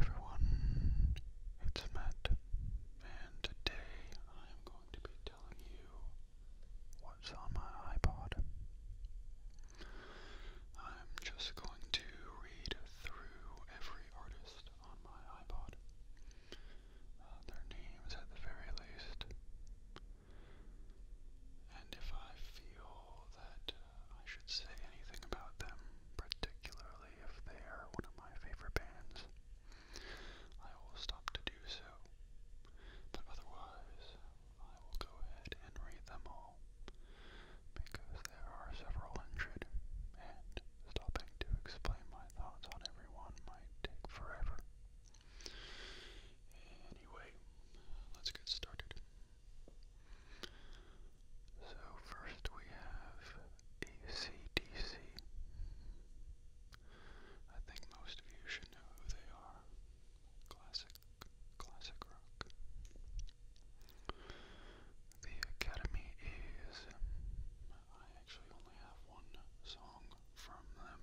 everyone, it's Matt, and today I am going to be telling you what's on my iPod. I'm just going to read through every artist on my iPod, uh, their names at the very least, and if I feel that uh, I should say anything about them, particularly if they are one of my favorite bands. I will stop to do so, but otherwise, I will go ahead and read them all, because there are several hundred, and stopping to explain my thoughts on every one might take forever. Anyway, let's get started. So first we have ACDC. I think most of you should know who they are. Classic, classic rock. The Academy is. I actually only have one song from them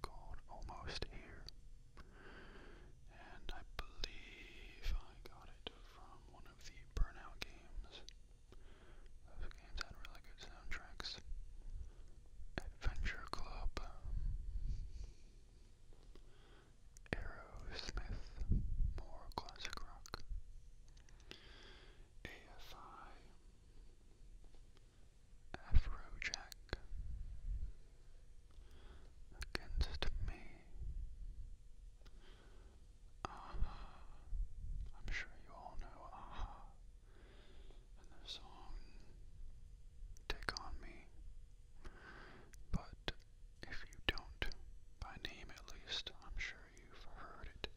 called Almost Here. And I believe I got it from one of the Burnout games. Those games had really good soundtracks. Adventure Club, Aerosmith, more classic rock, AFI, Afrojack, against me. Aha. I'm sure you all know Aha. And the song Take On Me. But if you don't, by name at least, I'm sure you've heard it.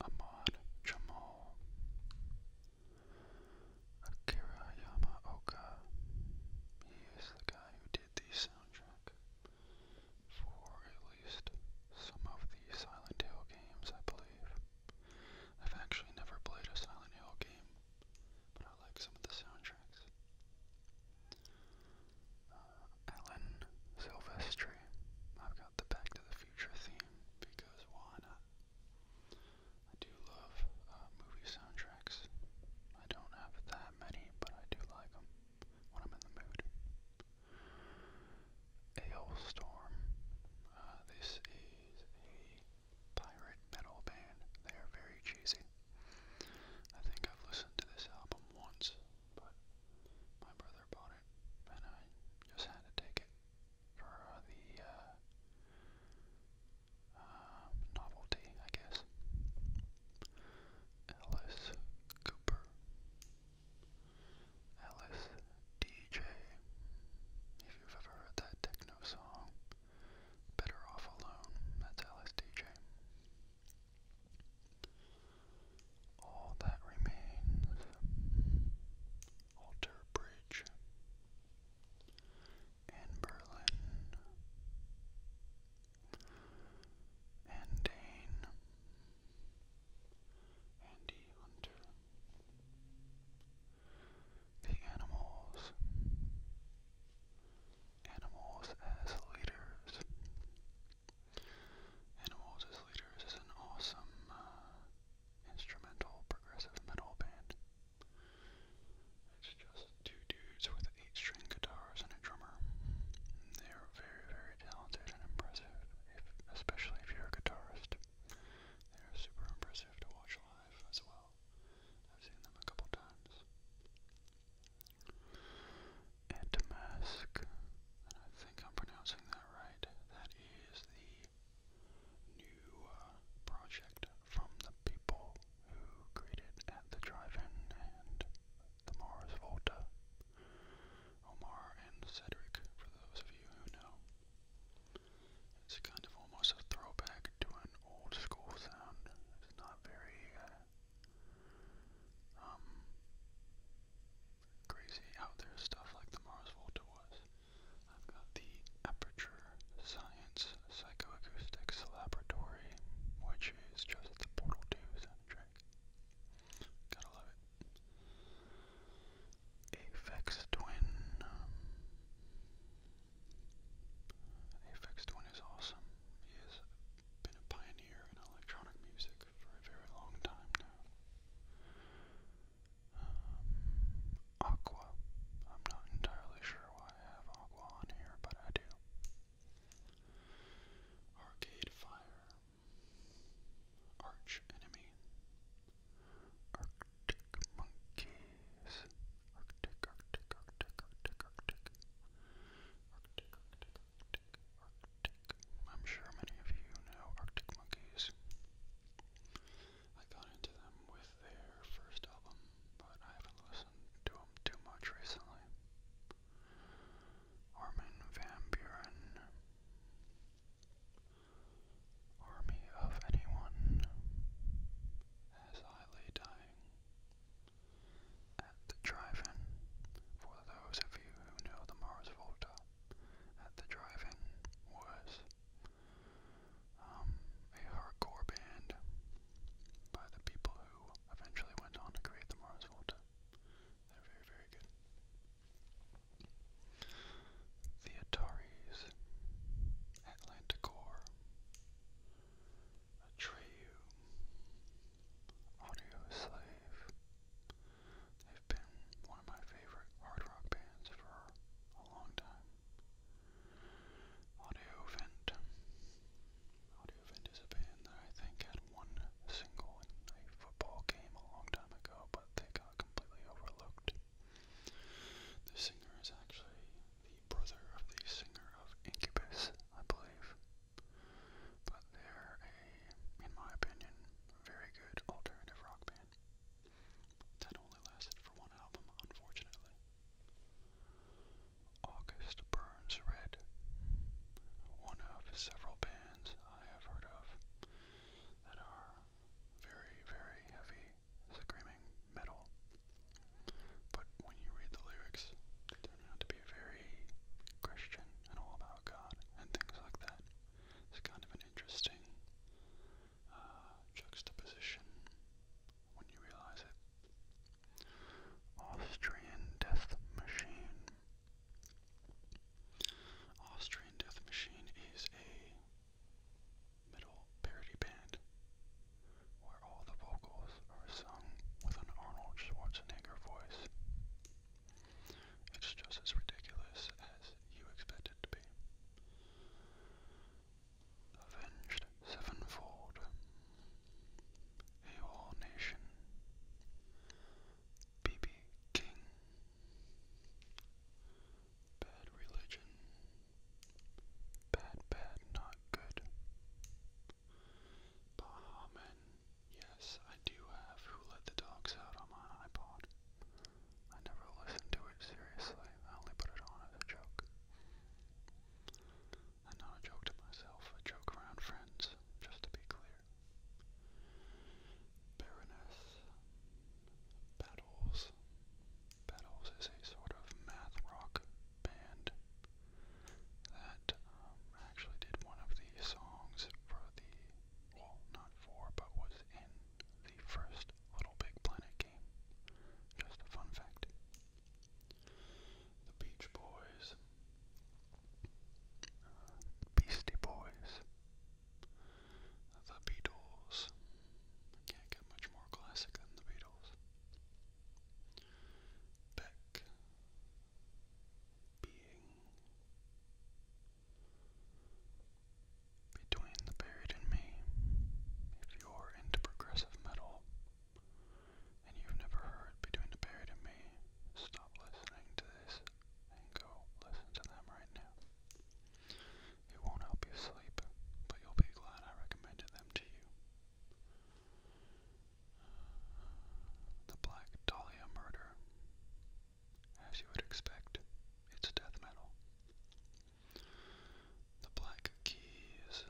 Ahmad Jamal Akira Yamaoka. He is the guy who did the soundtrack for at least some of the Silent Hill games, I believe. I've actually never played a Silent Hill game, but I like some of the soundtracks. Uh, Alan Silvestri. I've got the Back to the Future theme because why not? I do love uh, movie soundtracks. I don't have that many, but I do like them when I'm in the mood. Ailstorm. Uh, this is a pirate metal band. They are very cheesy. I think I've listened to this album once, but my brother bought it, and I just had to take it for the uh, um, novelty, I guess. Alice Cooper, Alice DJ. If you've ever heard that techno song, Better Off Alone, that's Alice DJ. All that remains. Alter Bridge and Berlin and Dane Andy Hunter The Animals Animals as Leaders Animals as Leaders is an awesome uh, instrumental progressive metal band. It's just two dudes with eight string guitars and a drummer. They're very, very talented and impressive, especially if you're a guitarist. They're super impressive to watch live as well. I've seen them a couple times. At I think I'm pronouncing that right, that is the new uh, project from the people who created At the Drive-In and the Mars Volta. Omar and Cedric, for those of you who know. It's kind of almost a throwback to an old school sound. It's not very uh, um, crazy out there stuff like the Mars Volta was. I've got the Aperture Science Psychoacoustics Laboratory, which is just the Portal 2 soundtrack. Gotta love it. Aphex Twin. Um, Aphex Twin is awesome. He has been a pioneer in electronic music for a very long time now. Um, aqua. I'm not entirely sure why I have Aqua on here, but I do. Arcade Fire. Arch Enemy. Arctic Monkeys. Arctic, Arctic, Arctic, Arctic, Arctic. Arctic, Arctic, Arctic, Arctic. I'm sure many of you know Arctic Monkeys. I got into them with their first album, but I haven't listened to them too much recently. Armin Van Buren, Army of Anyone, As I Dying, At the drive for those of you who know the Mars Volta, At the drive was um, a hardcore band by the people who eventually went on to create the Mars Volta. They're very, very good. The Ataris, Atlanticore, Atreyu, Audio Slave. They've been one of my favorite hard rock bands for a long time. AudioVent. AudioVent is a band that I think had one single in a football game a long time ago, but they got completely overlooked. The singer is actually the brother of the singer of Incubus, I believe. But they're a, in my opinion, very good alternative rock band. That only lasted for one album, unfortunately. August Burns Red, one of several bands I have heard of that are very, very heavy screaming metal. But when you read the lyrics, they turn out to be very Christian and all about God and things like that. It's kind of an interesting uh, juxtaposition when you realize it. Austrian Death Machine. Austrian Death Machine is a metal parody band where all the vocals are sung with an Arnold Schwarzenegger voice. It's just as ridiculous as you expect it to be avenged sevenfold AWOL Nation, BB King, Bad Religion, Bad Bad Not Good, Bahaman, yes I do have Who Let the Dogs Out on my iPod, I never listened to it seriously, I only put it on as a joke. And not a joke to myself, a joke around friends, just to be clear. Baroness Battles. Battles is a sort of math rock band that um, actually did one of the songs for the, well, not for, but was in the first Little Big Planet game. Just a fun fact. The Beach Boys, uh, Beastie Boys, The Beatles. can't get much more classic than The Beatles. Beck, being between the buried and me. If you're into progressive metal and you've never heard between the buried and me, stop listening to this and go listen to them right now. It won't help you sleep, but you'll be glad I recommended them to you. The Black Dahlia murder. As you would expect, it's death metal the Black Keys,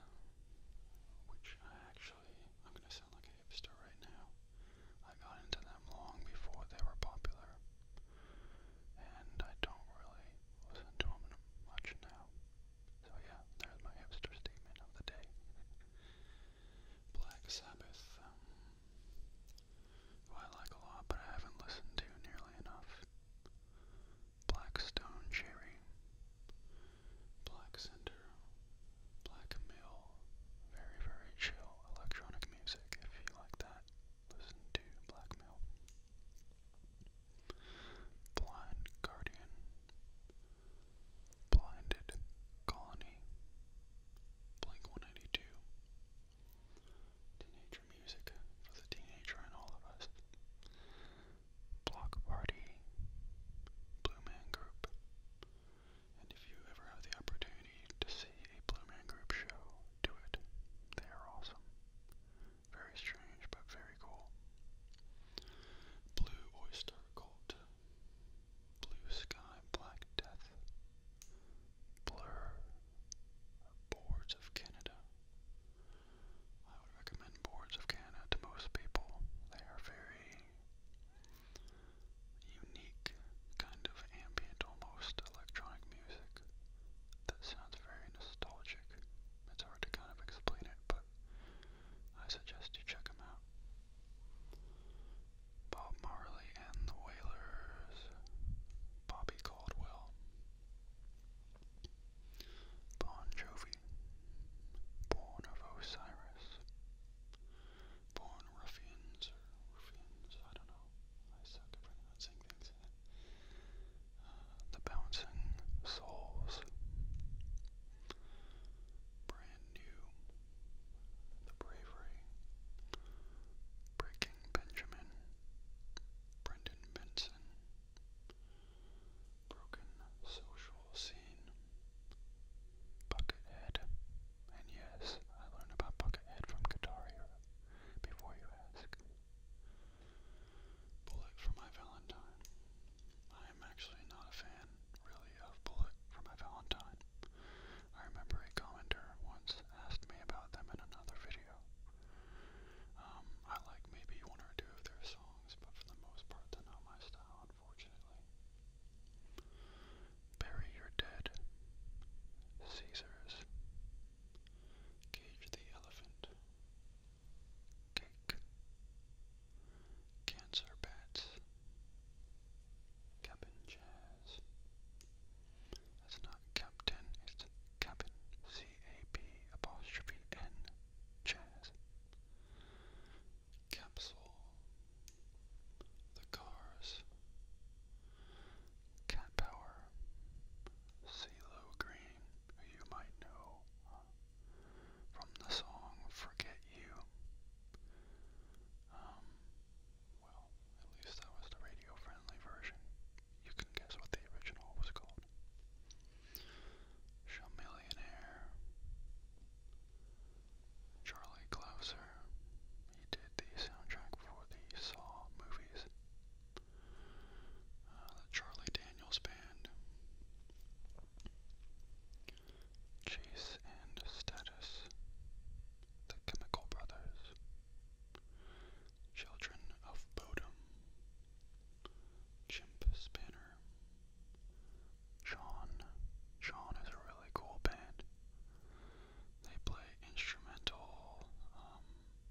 which I actually, I'm going to sound like a hipster right now. I got into them long before they were popular, and I don't really listen to them much now. So yeah, there's my hipster statement of the day. Black Sabbath, um, who I like a lot, but I haven't listened to nearly enough blackstone cherry, black center, black very very chill electronic music. If you like that, listen to black Blind guardian, blinded colony, blink 182, teenage future music for the teenager and all of us. Block Party, Blue Man Group. And if you ever have the opportunity to see a Blue Man Group show, do it. They are awesome. Very strange, but very cool. Blue Oyster Cult, Blue Sky Black Death, Blur, Boards of Canada, I would recommend Boards of Canada to most people. They are very unique, kind of ambient, almost electronic music that sounds very nostalgic. It's hard to kind of explain it, but I suggest you check them out. Bob Marley and the Wailers, Bobby Caldwell. Bon Jovi, born of Osiris, born ruffians I don't know. I suck at pronouncing things. Uh, the bouncing souls, brand new, the bravery, breaking Benjamin, Brendan Benson broken social scene. Buckethead. And yes, I learned about Buckethead from Guitar before you ask. Bullet for my Valentine. I am actually not a fan, really, of Bullet for my Valentine. I remember a commenter once asked me about them in another video. Um, I like maybe one or two of their songs, but for the most part, they're not my style, unfortunately. Bury Your Dead, Caesars, Cage the Elephant, Cake, Cancer Bats, Cabin Jazz. That's not Captain, it's Cabin, C A P apostrophe N Jazz. Capsule. The Cars. Cat Power. CeeLo Green, who you might know from the song Forget You. Um, well, at least that was the radio friendly version. You can guess what the original was called. Chamillionaire. Charlie Clouser. He did the soundtrack for the Saw movies. Uh, the Charlie Daniels Band. Chase and Status. The Chemical Brothers. Children of Bodom. Chimp Spinner. Sean. Sean is a really cool band. They play instrumental, um,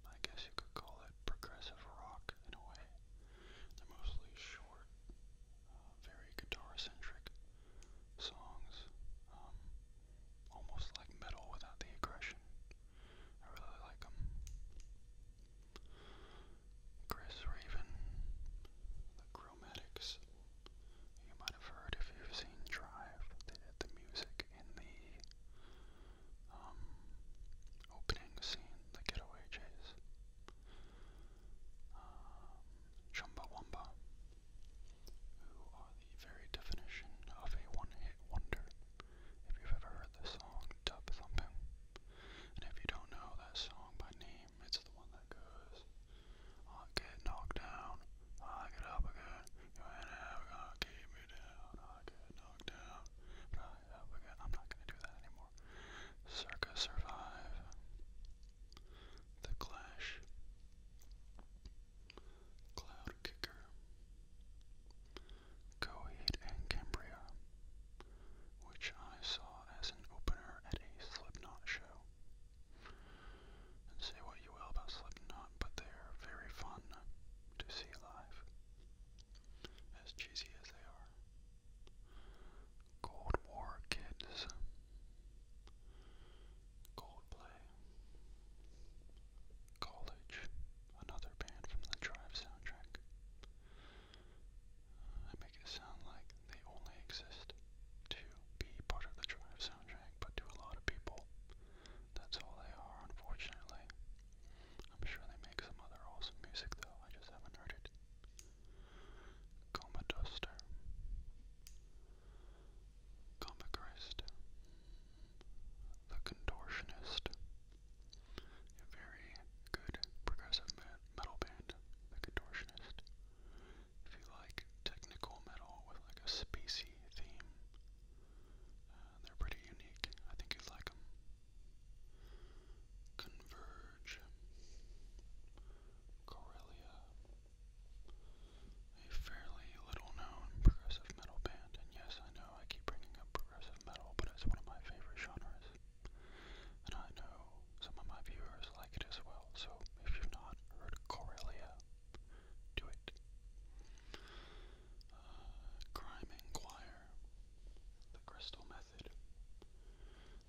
I guess you could call it progressive rock in a way. They're mostly short, uh, very guitar-centric songs, um, almost like metal without the aggression. I really like them. Chris Raven, The Chromatics. You might have heard if you've seen Drive, they did the music in the um, opening scene, the getaway chase. Um, Chumbawamba, who are the very definition of a one-hit wonder. If you've ever heard the song Dub Thumping, and if you don't know that song by name, it's the one that goes, I get knocked down, I get up again, you ain't ever gonna keep me down, I get knocked down, but I get up again. I'm not gonna do that anymore. Circa Survive, The Clash, Cloud Coheed and Cambria, which I saw as an opener at a Slipknot show. And say what you will about Slipknot, but they're very fun to see live, as cheesy as they are. Cold War Kids, Coldplay, College, another band from the Drive soundtrack, I make it sound like they only exist to be part of the Drive soundtrack, but to a lot of people, that's all they are, unfortunately. I'm sure they make some other awesome music, though, I just haven't heard it. Coma Duster. The Contortionist. A very good progressive metal band, The If you like technical metal with like a spacey theme, uh, they're pretty unique. I think you'd like them. Converge, Corellia, a fairly little known progressive metal band, and yes, I know I keep bringing up progressive metal, but it's one of my favorite genres. And I know some of my viewers like it as well, so if you've not heard Corellia, do it. Uh, Crime Inquire, The Crystal Method.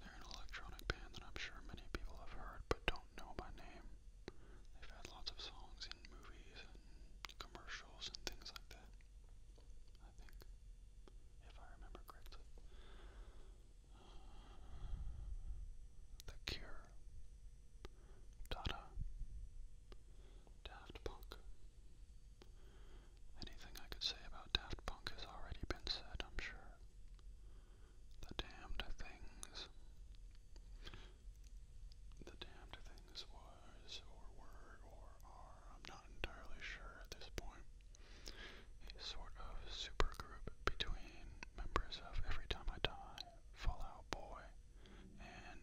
They're an electronic band that I'm sure many people have heard but don't know by name. They've had lots of songs in movies commercials and things like that. I if I remember correctly. Uh, the Cure, Dada, Daft Punk. Anything I could say about Daft Punk has already been said, I'm sure. The Damned Things. The Damned Things was, or were, or are, I'm not entirely sure at this point a sort of supergroup between members of Every Time I Die, Fallout Boy, and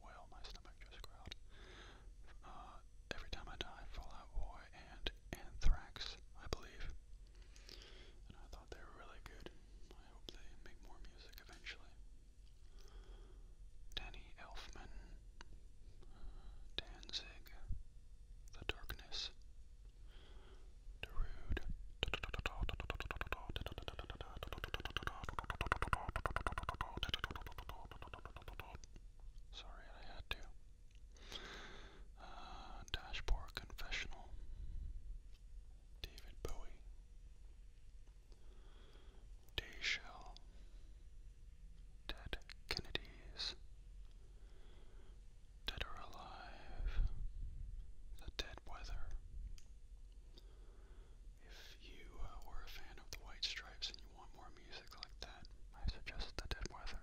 well, my stomach just growled. Uh, Every Time I Die, Fallout Boy, and Anthrax, I believe. And I thought they were really good. I hope they make more music eventually. Danny Elfman Danzig, The Darkness, Darude, sorry I had to, uh, Dashboard Confessional, David Bowie, Day Dead Kennedys. Dead or alive. The dead weather. If you uh, a fan of the White Stripes and you want more music like that, I suggest The Dead Weather,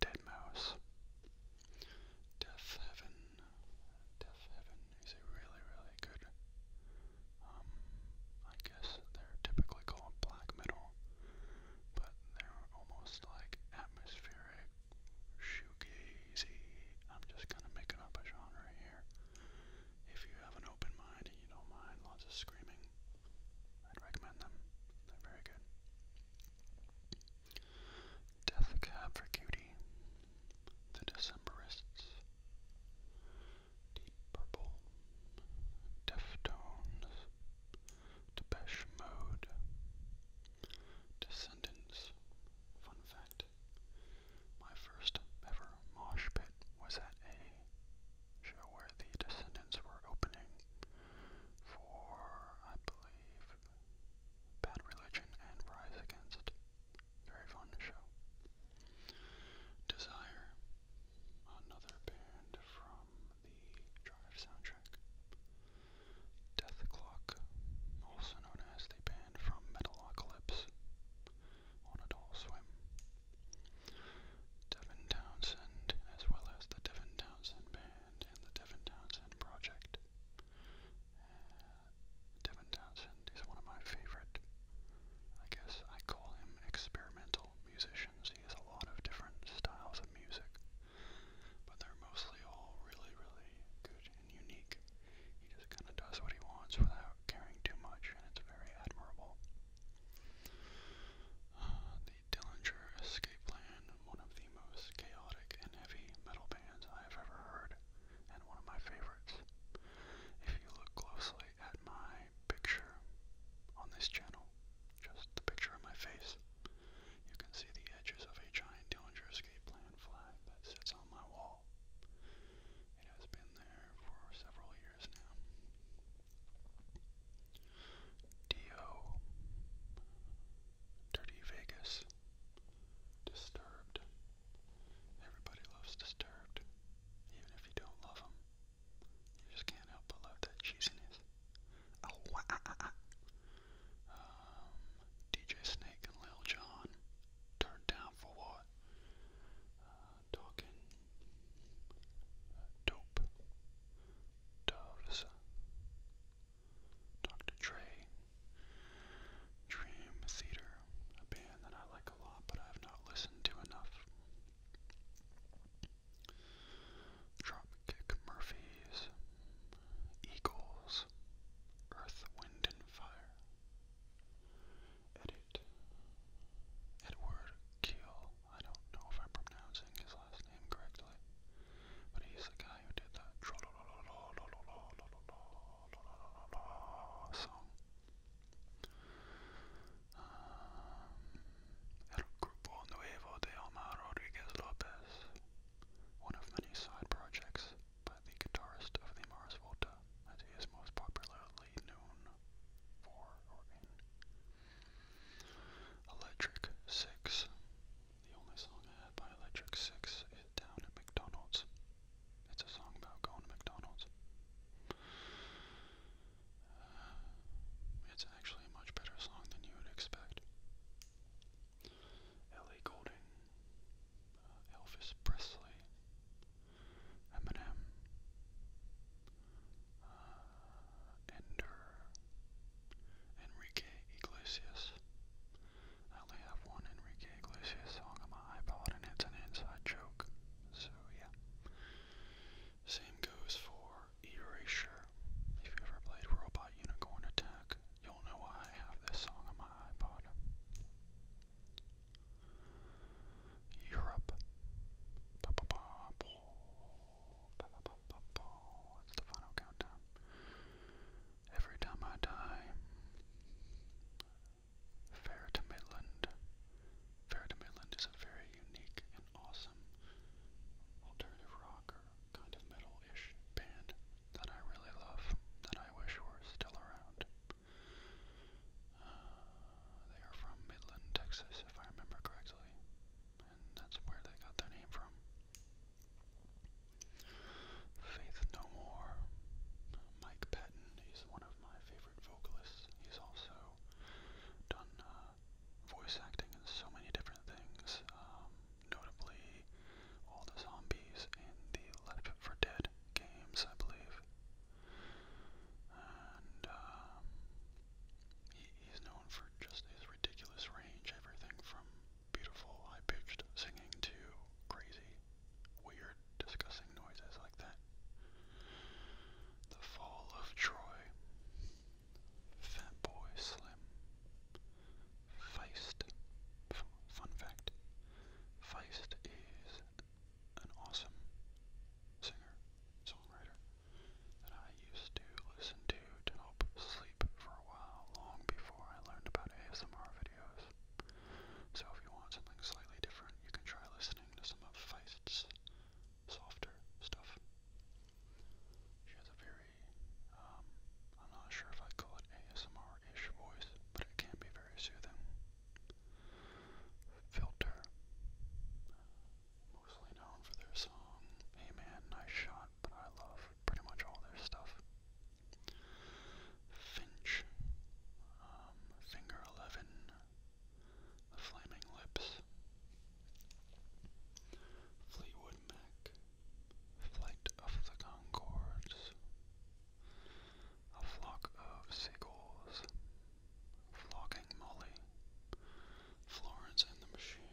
Dead Mouse, Death Heaven. Death Heaven is a really, really good um, I guess they're typically called black metal, but they're almost like atmospheric, shoegazy. I'm just kind of making up a genre here. If you have an open mind and you don't mind lots of screaming, I'd recommend them. They're very good. Death Cab for Cutie, The Decemberists, Deep Purple, Deftones, Depeche Mode, Descendants. Fun fact, my first ever mosh pit was at a show where the Descendants were opening for, I believe, Bad Religion and Rise Against. Very fun show. Desire, another band from the Drive soundtrack. Death Clock, also known as the band from Metalocalypse, on Adult Swim. Devin Townsend, as well as the Devin Townsend Band and the Devin Townsend Project. Uh, Devin Townsend is one of my favorite. I guess I call him experimental musicians. He has a lot of different styles of music, but they're mostly all really, really good and unique. He just kind of does what he wants without caring too much, and it's very admirable. Uh, the Dillinger Escape Plan, one of the most chaotic and heavy metal bands I have ever heard, and one of my favorites. If you look closely, at my picture on this channel, just the picture of my face. You can see the edges of a giant Dillinger Escape Plan flag that sits on my wall. It has been there for several years now. Dio, Dirty Vegas, Disturbed. Everybody loves Disturbed, even if you don't love them. I just can't help but love that cheesiness. Oh, ah, ah, ah. um, DJ Snake and Lil Jon turned down for what? Uh, talking uh, dope. Doves. Dr. Dre. Dream Theater, a band that I like a lot, but I have not listened to enough. Dropkick Murphys, Eagles, Earth, Wind, and Fire. Edit Edward Keel. I don't know if I'm pronouncing his last name correctly, but he's the guy who did that Um, El Grupo Nuevo de Omar Rodriguez Lopez, one of many side projects by the guitarist of the Mars Volta, as he is most popularly known for or in. Electric Six. The only song by Electric Six is Down at McDonald's. It's a song about going to McDonald's. It's actually a much better song than you would expect. Ellie Goulding, uh, Elvis Presley, Eminem, uh, Ender, Enrique Iglesias. I only have one Enrique Iglesias song on my iPod, and it's an inside joke. So yeah. Same goes for Erasure. If you ever played Robot Unicorn Attack, you'll know why I have this song on my iPod. Europe. That's the final countdown. Every time I die, fair to Midland. Fair to Midland is a very very unique and awesome alternative rock or kind of metal-ish band that I really love, that I wish were still around. Uh, they are from Midland, Texas, if I remember correctly, and that's where they got their name from. Faith No More. Mike Patton, he's one of my favorite vocalists. He's also done uh, voice acting and so many different things, um, notably all the zombies in the Left 4 Dead games, I believe. And um, he's known for just his ridiculous range, everything from beautiful, high-pitched singing to crazy, weird, disgusting noises like that. The Fall of Troy Fatboy Slim. Feist. fun fact. Feist is an awesome singer, songwriter that I used to listen to to help sleep for a while long before I learned about ASMR videos. So if you want something slightly different, you can try listening to some of Feist's softer stuff. She has a very, um, I'm not sure if i call it ASMR-ish voice, but it can be very soothing. Filter, mostly known for their song, Hey Man, Nice Shot, but I love pretty much all their stuff. Finch, um, Finger Eleven, The Flaming Lips, Fleetwood Mac, Flight of the Concords, A Flock of Seagulls, Flogging Molly, Florence and the Machine.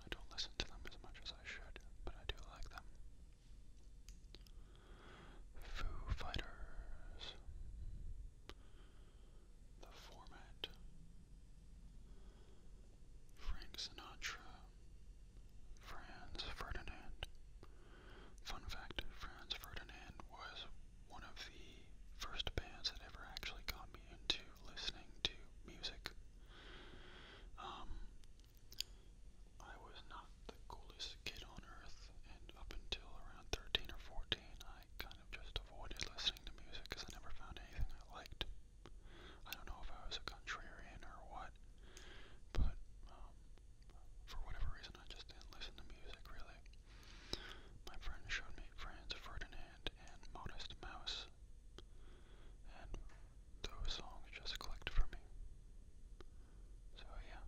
I don't listen to them as much as I should, but I do like them. Foo Fighters. The format Frank Sinatra, Franz Ferdinand. Fun fact Franz Ferdinand was one of the first bands that ever actually got me into listening to music. Um, I was not the coolest kid on earth, and up until around 13 or 14, I kind of just avoided listening to music because I never found anything I liked. I don't know if I was a contrarian or what, but um, for whatever reason, I just didn't listen to music really. My friend showed me Franz Ferdinand and Modest Mouse, and those songs just clicked for me. So yeah,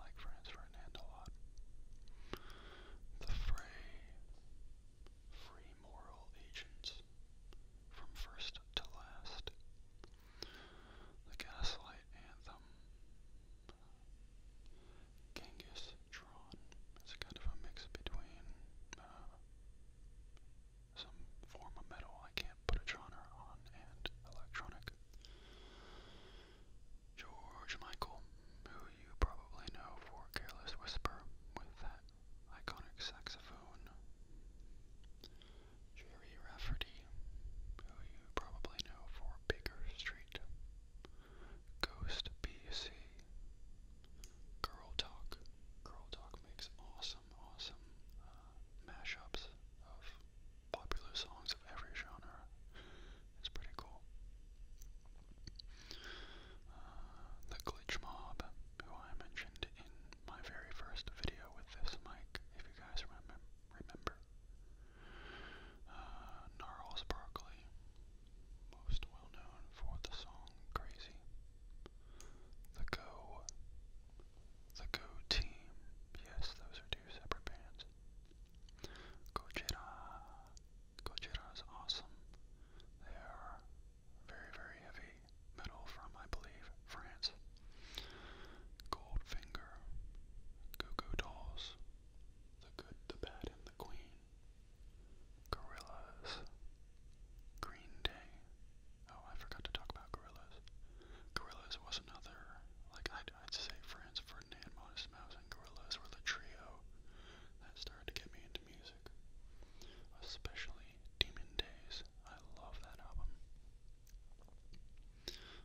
like Franz Ferdinand a lot. The Fray free moral agents, from first to last. The Gaslight Anthem, Genghis Tron, it's kind of a mix between uh, some form of metal I can't put a genre on and electronic. George Michael, who you probably know for Careless Whisper with that iconic saxophone. Jerry Rafferty, who you probably know for Baker Street. Ghost BC. Girl Talk. Girl Talk makes awesome, awesome uh, mashups of popular songs of every genre. It's pretty cool. Uh, the glitch mob, who I mentioned in my very first video with this mic, if you guys remember. remember. Uh, most well known for the song Crazy. The Go, The Go Team, yes, those are two separate bands. Gojira, Gojira is awesome. They are very, very heavy metal from, I believe, France. Goldfinger, Goo Goo Dolls, The Good, the Bad, and the Queen, Gorillas, Green Day. Oh, I forgot to talk about Gorillas. Gorillas was another, like I'd, I'd say Franz Ferdinand, Modest Mouse, and Gorillas were the trio that started to get me music, especially Demon Days. I love that album.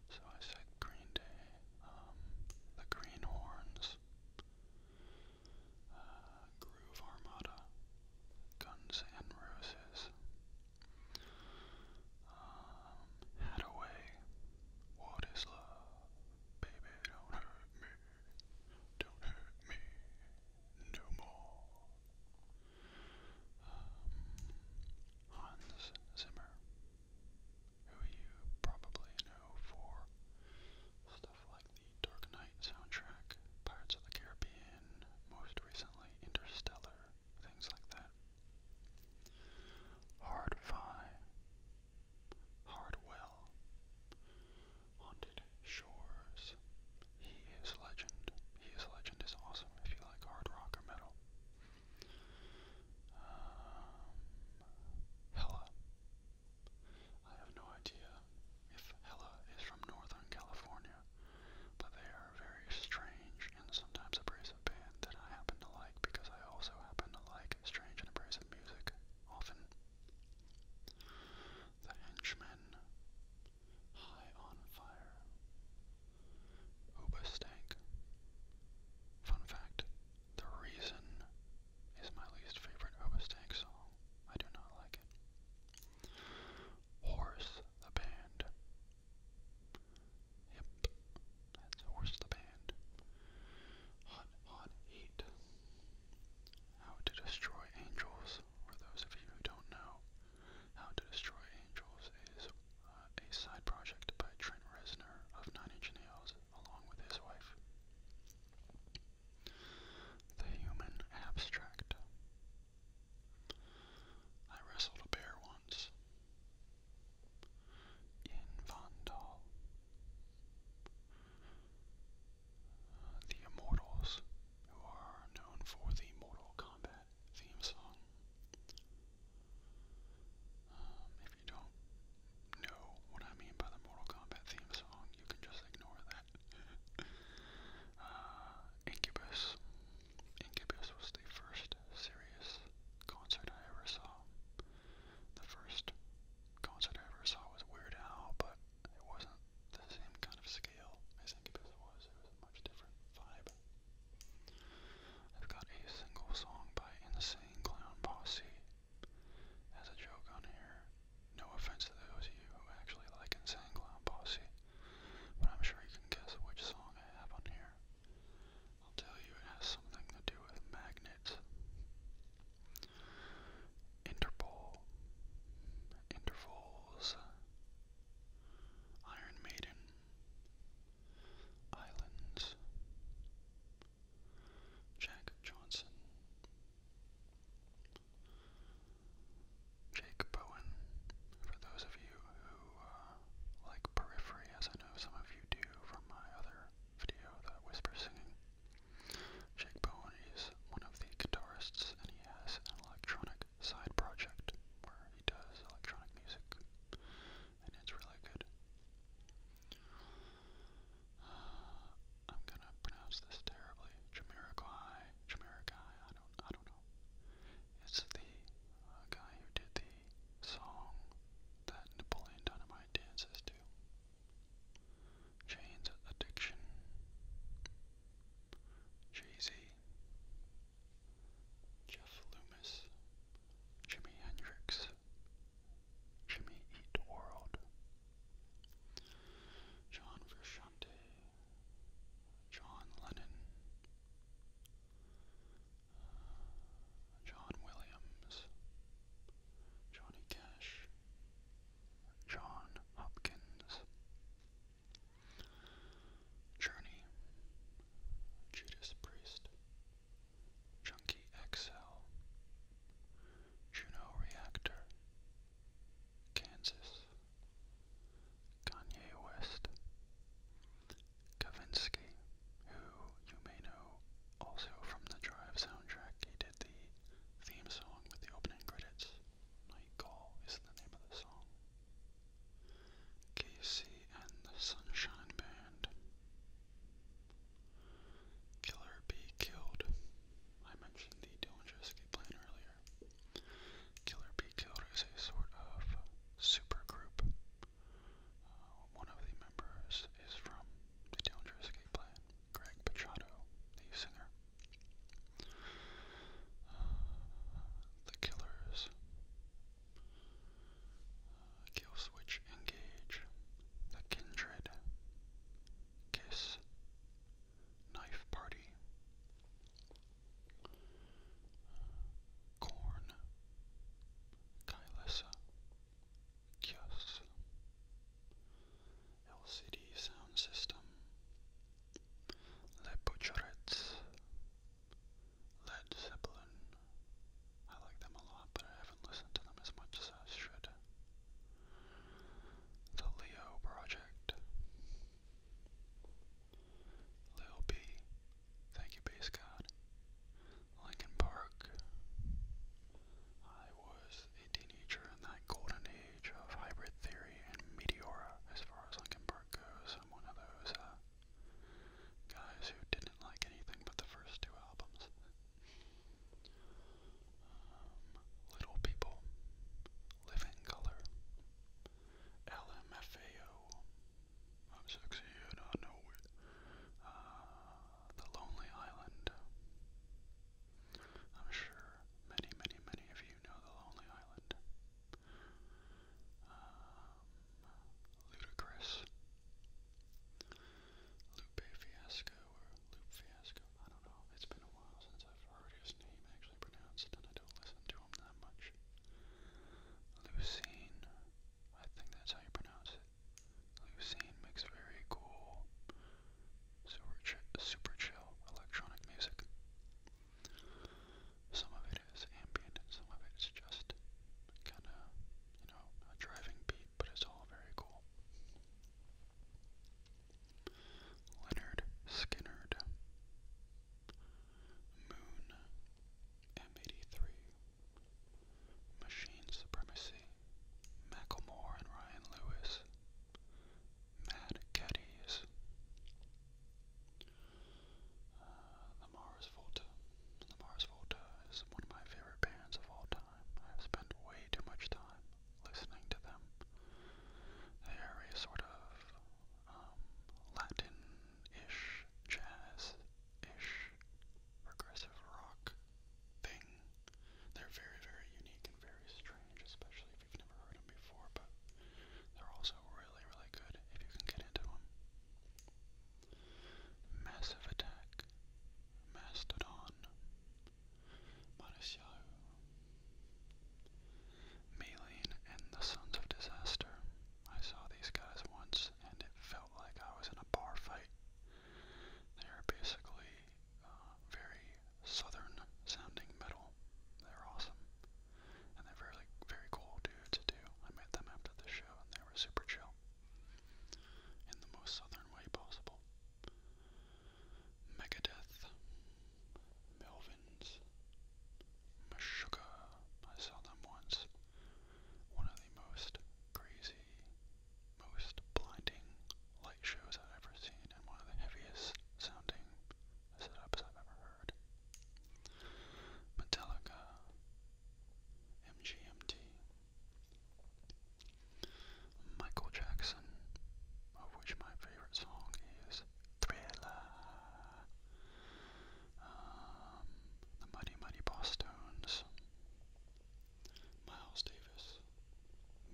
So I said Green Day, um, the Green Horns, uh, Groove Armada, Guns and Roses, um, What is Love, Baby Don't Hurt Me. Don't hurt me no more. Um, Hans Zimmer, who you probably know for stuff like the Dark Knight soundtrack, Pirates of the Caribbean, most recently Interstellar, things like that. Hard Fi, Hardwell, Haunted Shores. He is a legend. He is a legend is awesome if you like hard rock or metal. Um, Hella. I have no idea if Hella is from Northern California, but they are a very strange and sometimes abrasive band that I happen to like because I also happen to like strange and abrasive music often. The henchmen, high on fire. Uba Fun fact, the reason is my least favorite Uba song. I do not like it. Horse the band. Yep, that's Horse the band. Hot, hot heat. How to Destroy Angels, for those of you who don't know. How to Destroy Angels is uh, a side project by Trent Reznor of Nine Inch Nails, along with his wife. The Human Abstract. I wrestled a bear once. In Vandal the Immortals, who are known for the Mortal Kombat theme song. Um, if you don't know what I mean by the Mortal Kombat theme song, you can just ignore that. Uh, Incubus. Incubus was the first serious concert I ever saw. The first concert I ever saw was Weird Al, but it wasn't the same kind of scale as Incubus was. It was a much different vibe. I've got a single song by Insane Clown Posse as a joke on here. No offense to those of you who actually like Insane Clown Posse, but I'm sure you can guess which song I have on here. I'll tell you it has something to do with magnets. Interpol, Intervals, Iron Maiden, Islands, Jack Johnson, Jake Bowen. For those of you who uh, like Periphery, as I know some of you do from my other video, The Whisper Singing, Jake Bowen is one of the guitarists, and he has an electronic side project where he does electronic music, and it's really good. Uh, I'm gonna pronounce this terribly. Jamiroquai, Jamiroquai, I don't, I don't know. It's the uh, guy who did the song that Napoleon Dynamite dances to. Jane's Addiction, jay Jeff Loomis, Jimi Hendrix, Jimmy Eat World, John Frusciante, John Lennon, uh, John Williams, Johnny Cash, John Hopkins. Journey, Judas Priest, Junkie XL, Juno Reactor, Kansas, Kanye West, Kavinsky, who you may know also from the Drive soundtrack, he did the theme song with the opening credits. Nightcall is the name of the song. Casey and the Sunshine Band. Killer Be Killed. I mentioned the Dillinger Escape Plan earlier. Killer Be Killed is a sort of super uh, one of the members is from the Dillinger Escape Plan. Greg Pachado, the singer. Uh, the Killers, uh, Killswitch Engage, The Kindred, Kiss, Knife Party, Corn, uh, Kylissa, Kiss, LCD sound system, Les Butcherettes, Led Zeppelin. I like them a lot, but I haven't listened to them as much as I should. The Leo Project. Lil B. Thank you, Base God. Linkin Park. I was was a teenager in that golden age of hybrid theory and Meteora, as far as Linkin Park goes. I'm one of those uh, guys who didn't like anything but the first two albums. Um, Little People, Living Color, LMFAO, am Sexy and I Know It, uh, The Lonely Island, I'm sure many, many, many of you know The Lonely Island. Um, Ludacris. Lupe Fiasco or Loop Fiasco, I don't know. It's been a while since I've heard his name actually pronounced, and I don't listen to him that much. Lucene, I think that's how you pronounce it. Lucene makes very cool super, chill electronic music. Some of it is ambient some of it is just kind of, you know, a driving beat, but it's all very cool. Leonard Skinnerd. Moon M83. Machine Supremacy. Macklemore and Ryan Lewis. Madacates, uh, the Mars Volta. The Mars Volta is one of my favorite bands of all time. I've spent way too much time listening to them. They are a sort of um, Latin-ish, jazz-ish, progressive rock thing. They're very, very unique and very strange, especially if have never heard them before, but they're also really, really good if you can get into them. Massive Attack, Mastodon, Minus Yahoo, and the Sons of Disaster. I saw these guys once and it felt like I was in a bar fight. They are basically uh, very southern sounding metal. They're awesome. And they're very, very cool to do. I met them after the show and they were super chill. In the most southern way possible. Megadeth. Melvins. Meshuggah. I saw them once. One of the most crazy, most blinding light shows I've ever seen and one of the heaviest sounding setups I've ever heard. Metallica MGMT Michael Jackson, of which my favorite song is Thriller. Um, the Muddy Muddy Bosstones, Miles Davis,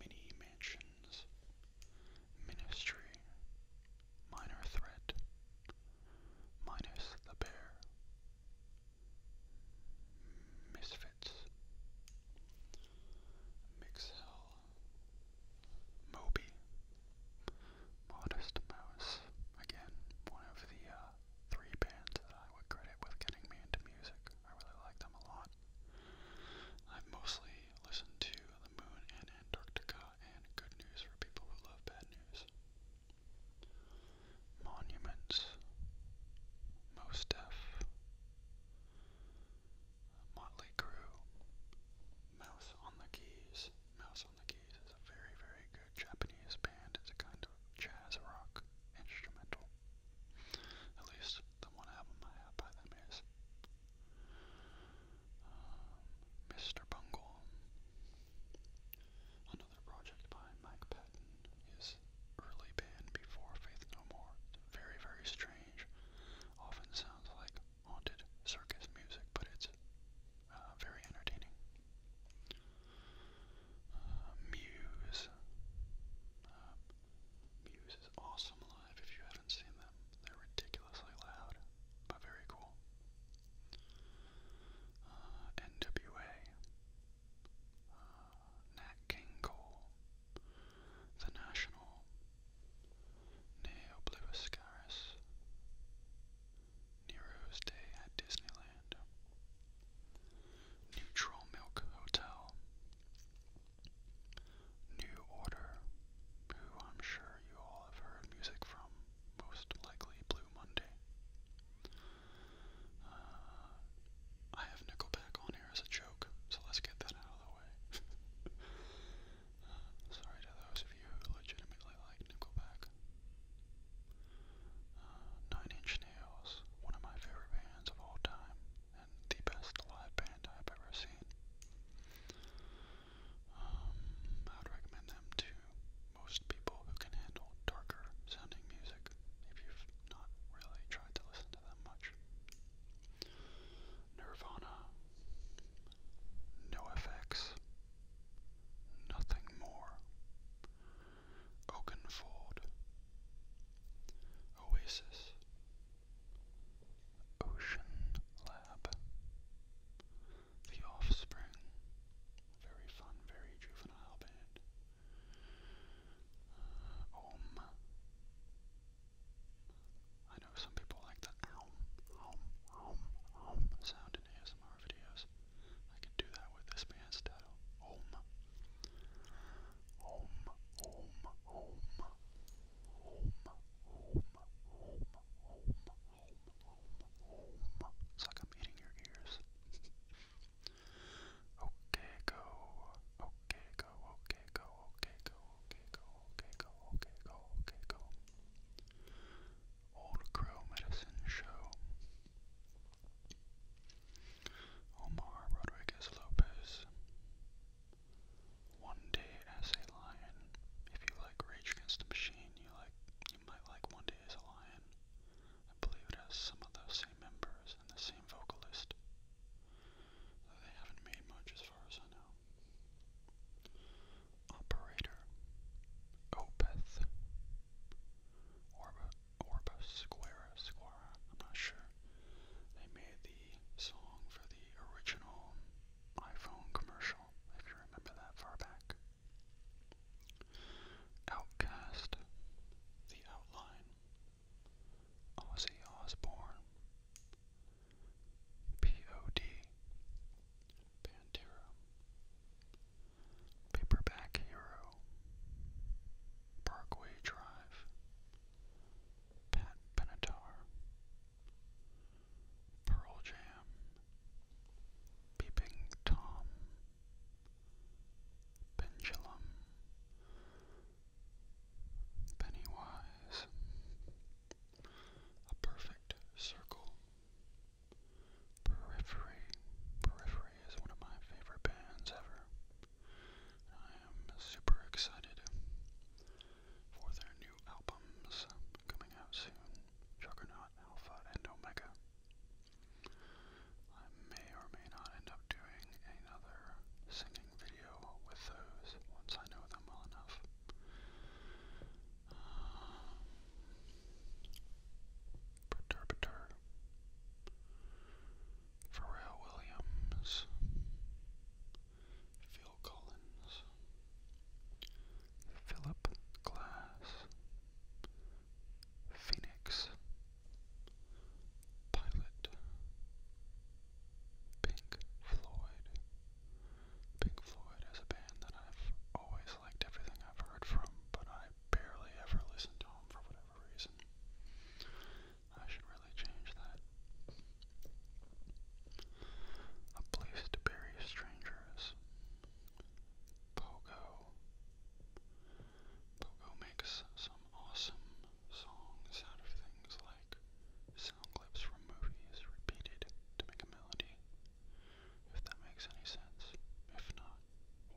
Mini Mansions, Ministry, Minor Threat, Minus the Bear, Misfits, Mixel, Moby, Modest Mouse, again, one of the uh, three bands that I would credit with getting me into music. I really like them a lot. I've mostly listened to the moon and Antarctica, and good news for people who love bad news. Monuments. Most Def. Motley Crue. Mouse on the Keys. Mouse on the Keys is a very, very good Japanese band. It's a kind of jazz rock instrumental. At least the one album I have by them is. Mr. Um, Bungle. Another project by Mike Patton, his early band before Faith No More. Very, very strange. Often sounds like haunted circus music, but it's uh, very entertaining. Uh, Muse. Uh, Muse is awesome if you haven't seen them. They're ridiculously loud, but very cool. Uh, NWA, uh, Nat King Cole, The National, Neo Blue Ascaris, Nero's Day at Disneyland, Neutral Milk Hotel, New Order, who I'm sure you all have heard music from, most likely Blue Monday. Uh, I have Nickelback on here as a joke, so let's get that out of the way. Uh, sorry to those of you who legitimately like Nickelback. Uh, Nine Inch Nails, one of my favorite bands of all time, and the best live band I've ever seen. Um, I would recommend them to most people who can handle darker sounding music if you've not really tried to listen to them much. Nirvana, NoFX, Nothing More, Oakenfold, Oasis, Ocean Lab. The Offspring. Very fun, very juvenile band. Uh, om. I know some people like the om, om, om, om sound in ASMR videos. I can do that with this band's title. Om. Om, om, om. Om, om, om. It's like I'm eating your ears. okay, go. Okay, go. Okay, go. Okay, go. Okay, go. Okay, go. Okay, go. Okay, go. Old Crow Medicine Show. Omar Rodriguez Lopez. One Day as a Lion. If you like Rage Against the Machine, you like you might like One Day as a Lion. I believe it has some of those same members and the same vocalist. Though they haven't made much as far as I know. Operator. Opeth. Orba Orba Squara Squara. I'm not sure. They made the song for the original iPhone commercial, if you remember that far back. Outcast, The Outline, Ozzy Osbourne, P.O.D., Pantera, Paperback Hero, Parkway Drive, Pat Benatar, Pearl Jam, Peeping Tom, Pendulum, Pennywise, A Perfect Circle, Periphery. Periphery is one of my favorite bands ever. I am super excited for their new albums coming out soon, Juggernaut, Alpha, and Omega. I may or may not end up doing another singing video with those once I know them well enough. Perturbator, Pharrell Williams, Phil Collins, Philip Glass, Phoenix, Pilot, Pink Floyd. Pink Floyd is a band that I've always liked everything I've heard from, but I barely ever listen to them for whatever reason. I should really change that. A place to bury strangers. Pogo. Pogo makes some awesome songs out of things like sound clips from movies repeated to make a melody. If that makes any sense. If not,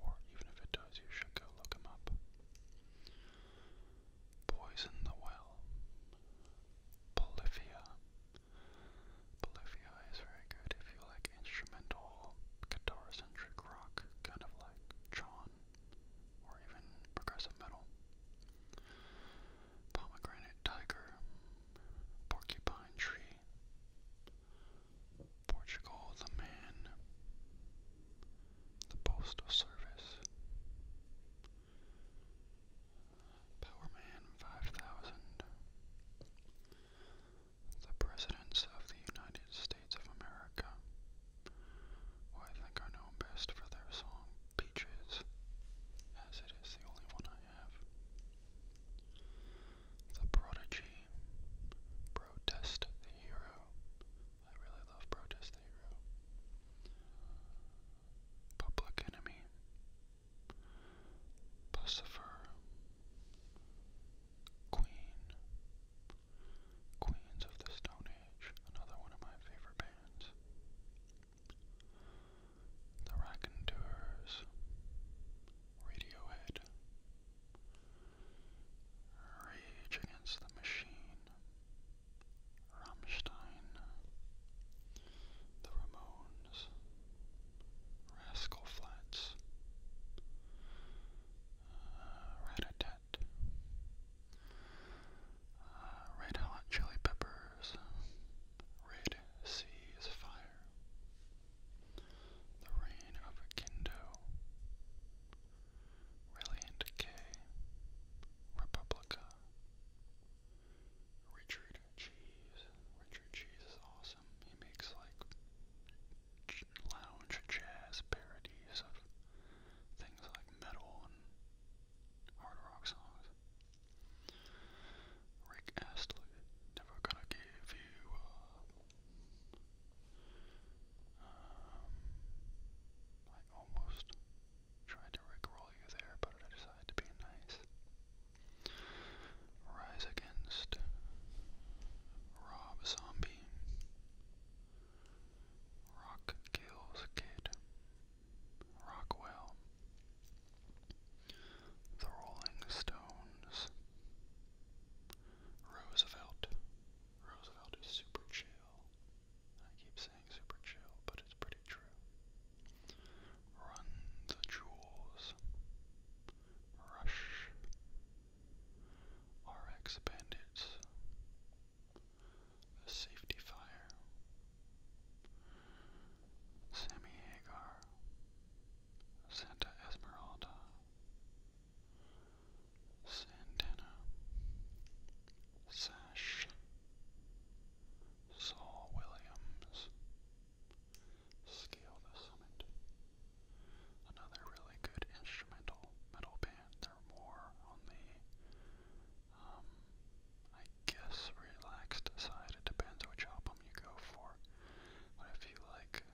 or even if it does, you should go look him up. Poison the Well. Polyphia. Bolivia is very good if you like instrumental, guitar-centric rock, kind of like John, or even progressive metal. Pomegranate tiger, porcupine tree, Portugal the man, the postal service, Powerman 5000. The presidents of the United States of America, who I think are known best for their song Peaches, as it is the only one I have. The Prodigy, Protest the Hero. I really love Protest the Hero. Public Enemy, Pussifer, Queen, Queens of the Stone Age, another one of my favorite bands. The Raconteurs, Radiohead, Rage Against the Machine, Rammstein, The Ramones. Rascal Flats, uh, uh, Red Hot Chili Peppers, Red Seas Fire, The Reign of Kindo, Reliant K, Republica, Richard Cheese. Richard Cheese is awesome. He makes like lounge jazz parodies of things like metal and hard rock songs. Rick Astley, never gonna give you up. Um, almost tried to Rickroll you there, but I decided to be nice. Rise Against, Rob Zombie, Rock Kills Kid, Rockwell, The Rolling Stones, Roosevelt. Roosevelt is super chill. I keep saying super chill, but it's pretty true. Run the jewels. Rush. RX bandits. The safety fire. Sammy Hagar. Santa Esmeralda. Santana. Sash. Saul Williams. Scale the Summit. Another really good instrumental metal band. They're more on the, um, I guess, relaxed side. It depends which album you go for. But if you like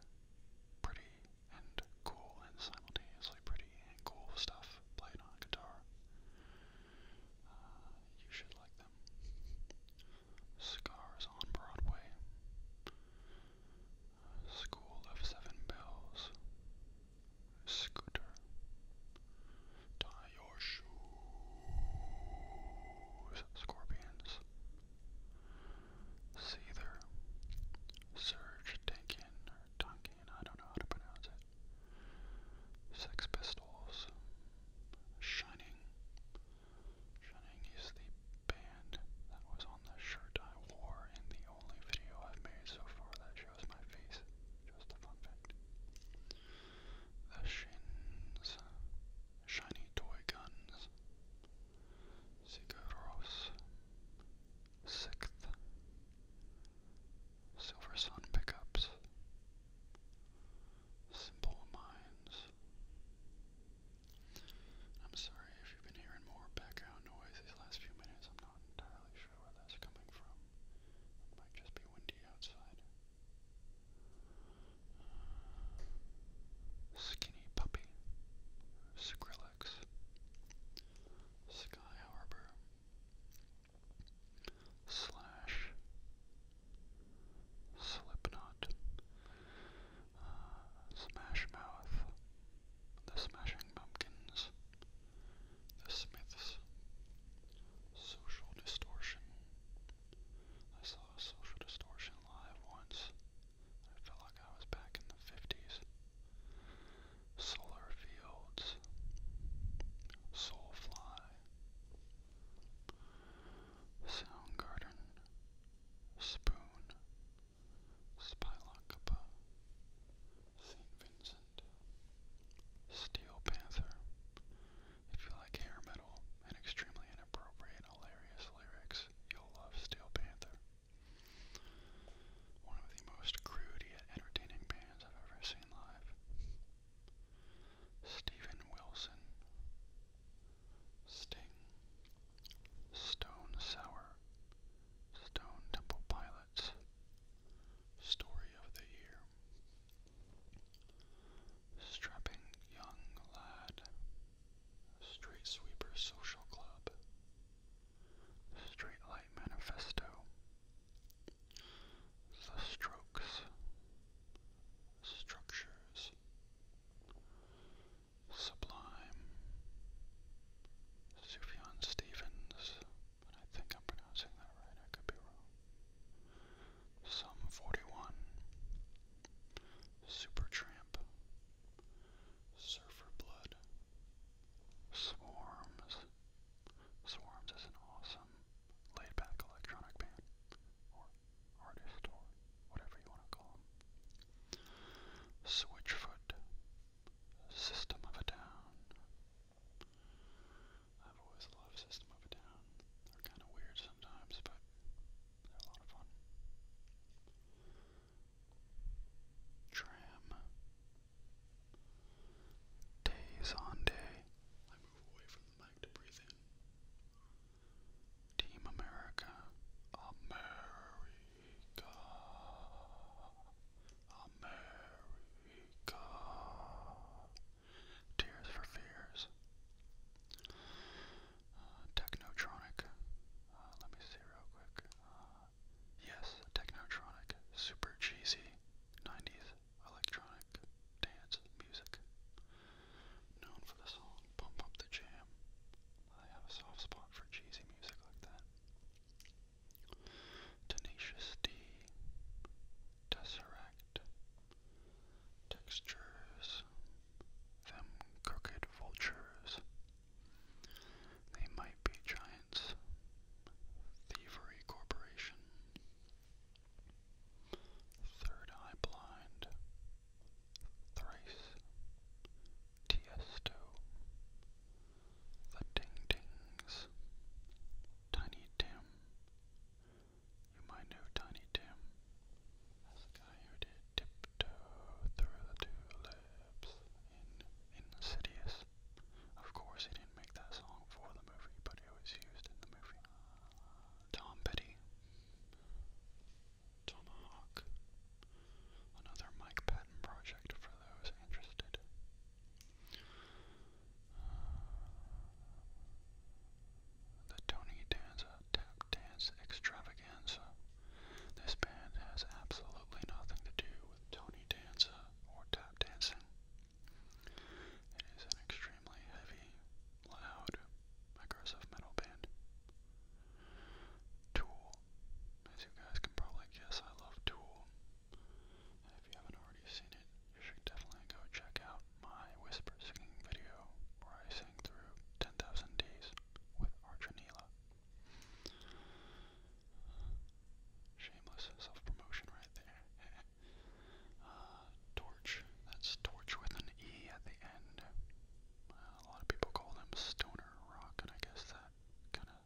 pretty and cool and simultaneously pretty and cool stuff played on guitar, uh, you should like them. Scars on Broadway. School of Seven Bells. Scooter. Tie your shoes. Scorpions. Seether. Surge Tankin or Tonkin, I don't know how to pronounce it. Sex Pistols. Shining. Shunning is the band that was on the shirt I wore in the only video I've made so far that shows my face. Just a fun fact. The Shins. Shiny Toy Guns. Siguros. Sixth. Silver Sun Pickups. Simple Minds. I'm sorry if you've been hearing more background noise these last few minutes. I'm not entirely sure where that's coming from. It might just be windy outside. Skinny Puppy. Skrillex. Sky Harbor. Slash. Slipknot, uh, Smash Mouth, The Smashing Pumpkins, The Smiths, Social Distortion. I saw Social Distortion live once. I felt like I was back in the 50s. Solar Fields, Soulfly. Soundgarden, Spoon, Spilocapa, St. Vincent, Steel Panther. If you like hair metal and extremely inappropriate, hilarious lyrics, you'll love Steel Panther. One of the most crude yet entertaining bands I've ever seen live. Stephen Wilson, Sting, Stone Sour, Stone Temple Pilots, Story of the Year, Strapping Young Lad, Street Sweeper Social Club, Straight Streetlight Manifesto, The Strokes, Structures, Sublime, Sufjan Stevens, I think I'm pronouncing that right, I could be wrong. Sum 41, Supertramp, Surfer Blood, Swarms. Swarms is an awesome laid back electronic band, artist or whatever you want to call him. Switchfoot, System of a Down. I've always loved System of a Down. They're kind of weird sometimes, but they a lot of fun. Tram. Days on day. I move away from the mic to breathe in. Team America, America, America. Tears for Fears. Uh, Technotronic. Uh, let me see real quick. Uh, yes, Technotronic. Super cheesy 90s electronic dance music known for the song Pump Up the Jam. I have a soft spot for cheesy music like that. Tenacious D, Tesseract, Textures, Them Crooked Vultures. They might be giants. Thievery Corporation. Third Eye Blind, Thrace, Tiesto, The Ding Dings, Tiny Tim. You might know Tiny Tim. the guy who did Tiptoe Through the Tulips in Insidious. Of course, he didn't make that song for the movie, but it was used in the movie. Tom Petty, Tomahawk, another Mike Patton project for those interested. Uh, the Tony Danza Tap Dance Extravaganza. This band has absolutely nothing to do with Tony Danza or tap dancing. It is an extremely heavy, loud, aggressive metal band. Tool. As you guys can probably guess, I love Tool. if you haven't already seen it, you should definitely go check out my whisper singing video where I sing through 10,000 Days with Archanila. Shameless self promotion right there. Uh, uh, Torch. That's Torch with an E at the end. Uh, a lot of people call them stoner rock, and I guess that kind of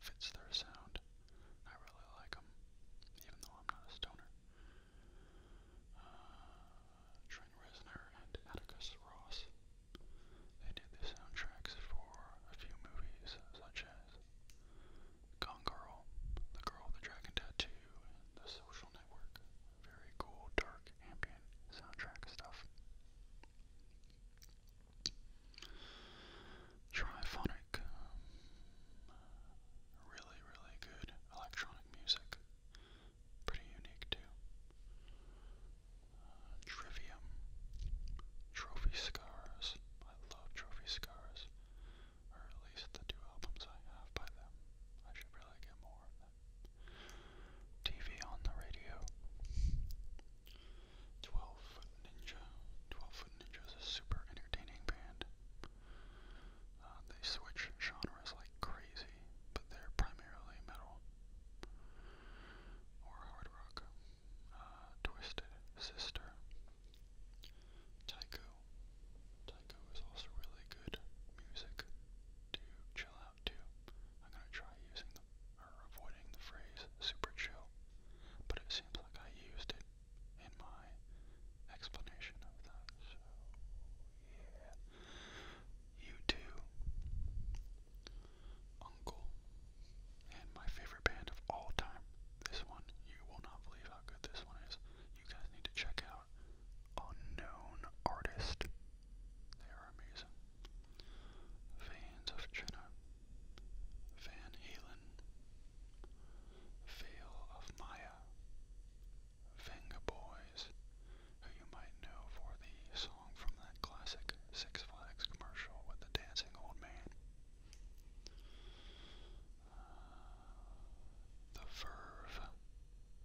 fits their sound. I really like them, even though I'm not a stoner. Uh, Trent Reznor and Atticus Ross. They did the soundtracks for a few movies, such as Gone Girl, The Girl with the Dragon Tattoo, and The Social Network very cool, dark, ambient soundtrack stuff. Triphonic, um, really, really good electronic music. Pretty unique too. Uh, Trivium, Trophy Scars. I love Trophy Scars, or at least the two albums I have by them. I should really get more TV on the radio. 12 Foot Ninja. 12 Foot Ninja is super entertaining band. Uh, they switch genres like crazy, but they're primarily metal or hard rock. Uh, Twisted Sister. Tycho. Tycho is also really good music to chill out to. I'm gonna try using the, or avoiding the phrase super chill, but it seems like I used it in my explanation of that, so yeah. You too. Uncle. And my favorite band of all time. This one, you will not believe how good this one is. You guys need to check out unknown artist. They are amazing. Fans of Jenna, Van Halen, Veil of Maya, Venga Boys, who you might know for the song from that classic Six Flags commercial with the dancing old man. Uh, the Verve,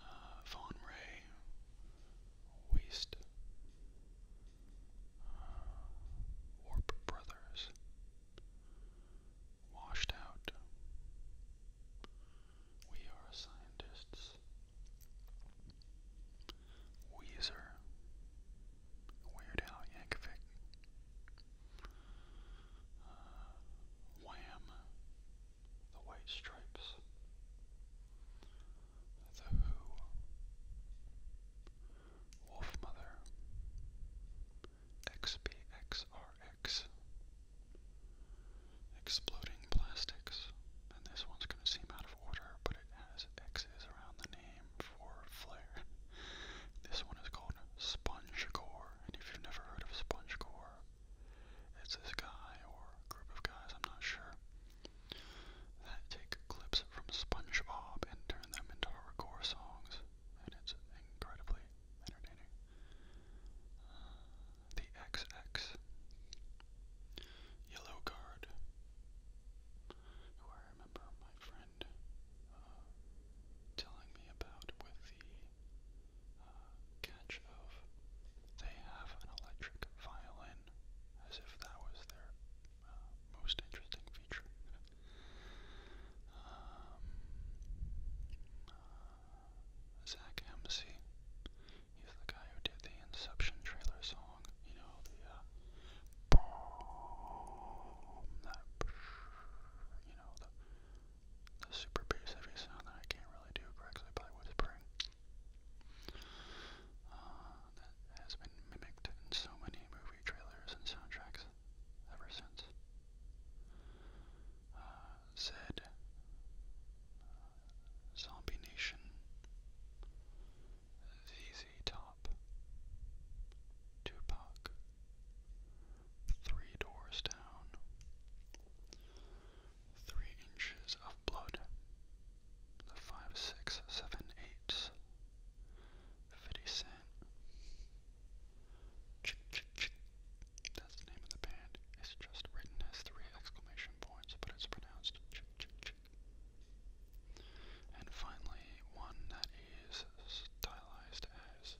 Uh, Waste, uh, Warp Brothers, Washed Out, We Are Scientists, Weezer, Weird Al Yankovic, uh, Wham, the White Stripes, The Who, Wolf XPXRX, Exploding Plastics, and this one's going to seem out of order, but it has X's around the name for Flair. This one is called Sponge Gore, and if you've never heard of Sponge Gore, it's this guy or group of guys, I'm not sure, that take clips from SpongeBob and turn them into hardcore songs, and it's incredibly entertaining. Uh, the XX, Yellow who I remember my friend uh, telling me about with the uh, catch of they have an electric violin, as if that was their uh, most interesting feature. Um, uh, Zach Hemsey, he's the guy who did the Inception trailer song. You know the uh, boom, that you know the a super bass heavy sound that I can't really do correctly by whispering. Uh, that has been mimicked in so many movie trailers and soundtracks ever since. Zed, uh, uh, Zombie Nation, ZZ Top, Tupac, Three Doors Down, three inches of blood. The five, six, seven, eights. Fifty Cent. Chick, chick, chick. That's the name of the band. It's just written as three exclamation points, but it's pronounced chick, chick, chick. And finally, one that is stylized as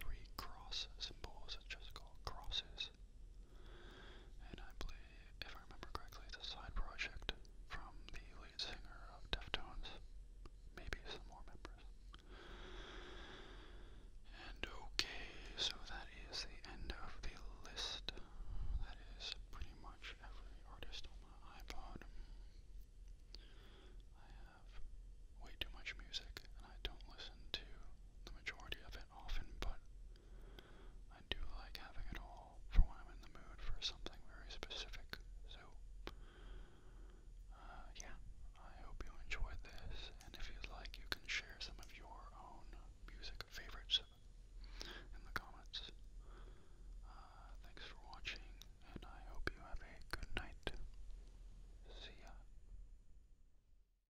three cross symbols, just called crosses. And I believe, if I remember correctly, it's a side project from the lead singer of Deftones. Maybe some more members. And okay, so that is the end of the list. That is pretty much every artist on my iPod. I have way too much music, and I don't listen to the majority of it often, but I do like having it all for when I'm in the mood for something very specific. So, uh, yeah, I hope you enjoyed this, and if you'd like, you can share some of your own music favorites in the comments. Uh, thanks for watching, and I hope you have a good night. See ya.